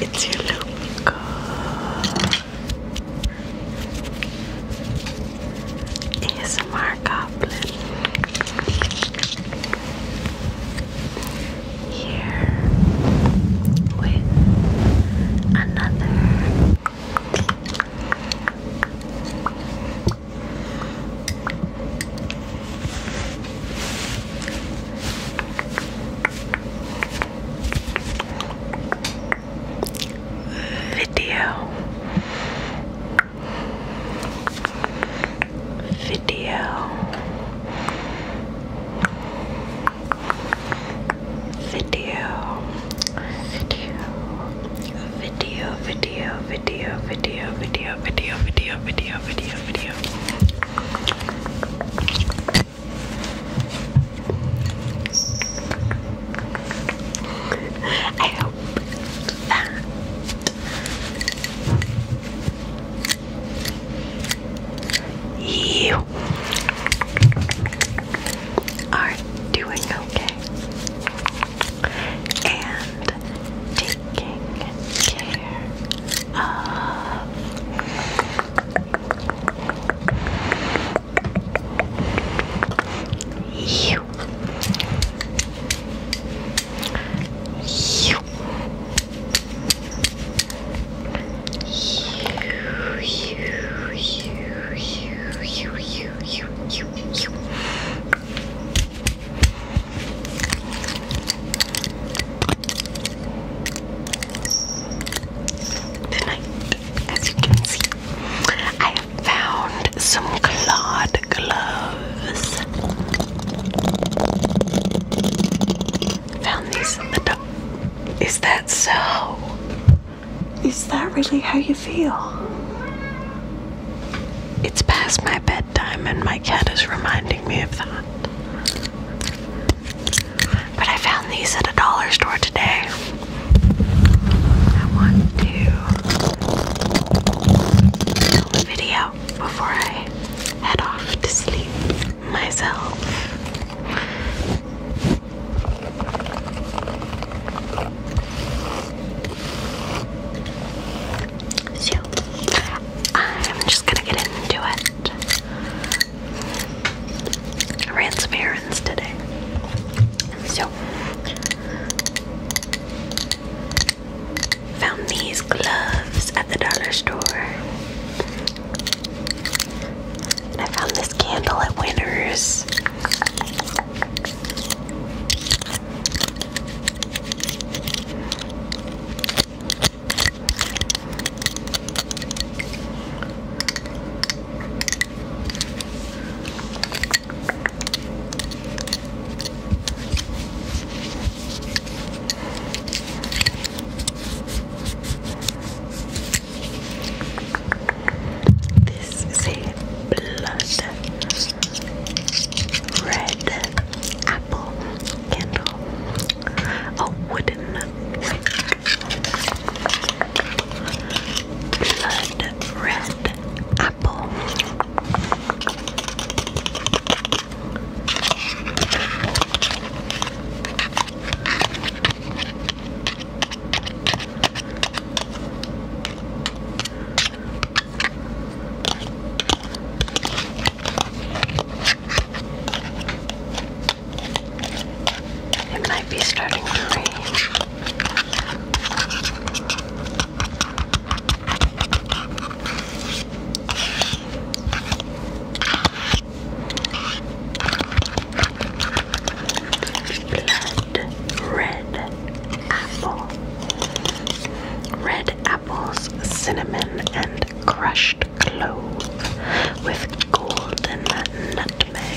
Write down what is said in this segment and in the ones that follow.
It's your logo. ASMR Goblin. Here with another Video Video video, video, video, video, video, video, video, video, video, video, video. I hope that you are doing okay and taking care of you. You. Tonight, as you can see, I have found some clawed gloves. Found these in the dark. Is that so? Is that really how you feel? It's past my bedtime, and my cat is reminding me of that. But I found these at a dollar store today. I want to film a video before I head off to sleep myself. So, I'm just gonna get into it. I errands today. So, found these gloves at the dollar store. I found this candle at Winners. This is a blood red apple candle. A wooden Blood red apple. It might be starting to rain. Blood red apple. Red apples, cinnamon, and crushed clove with golden nutmeg.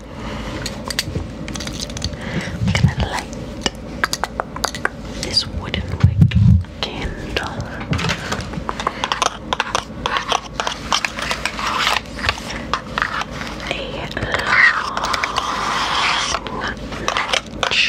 I'm gonna light this wooden wick candle. A long match.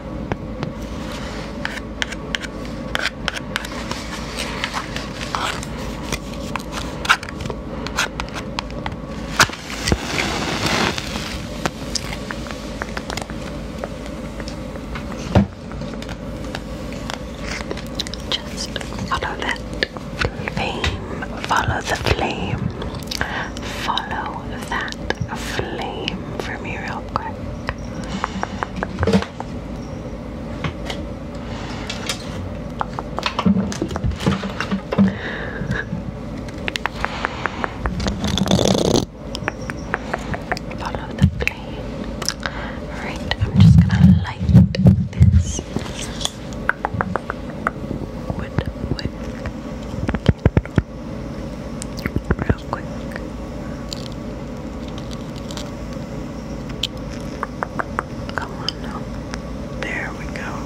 Just follow that flame, follow the flame, follow that a flame for me real quick. Follow the flame. Alright, I'm just gonna light this wood, wood, real quick. Come on now. There we go.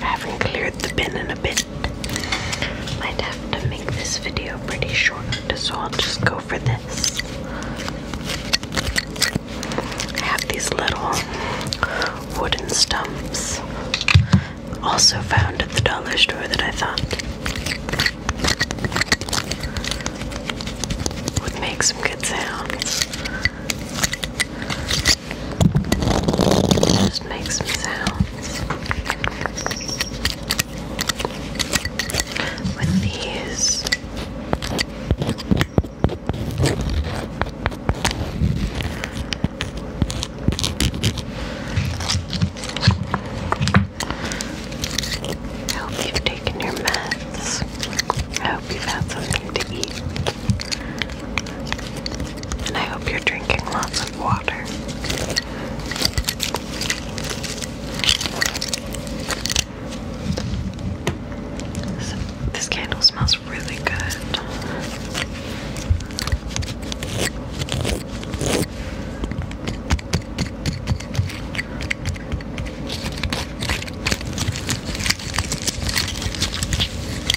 I haven't cleared the bin in a bit. i Might have to make this video pretty short, so I'll just go for this. I have these little wooden stumps. Also found at the dollar store that I thought would make some good sounds. Just make some sounds with these. I hope you've taken your meds. I hope you've had something to eat. I hope you're drinking lots of water. this candle smells really good.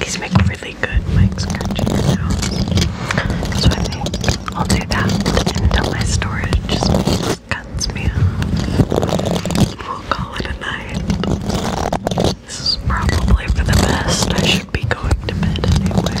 These make really good mic scratching sounds. So I will do that until my storage cuts me off. We'll call it a night. This is probably for the best. I should be going to bed anyway.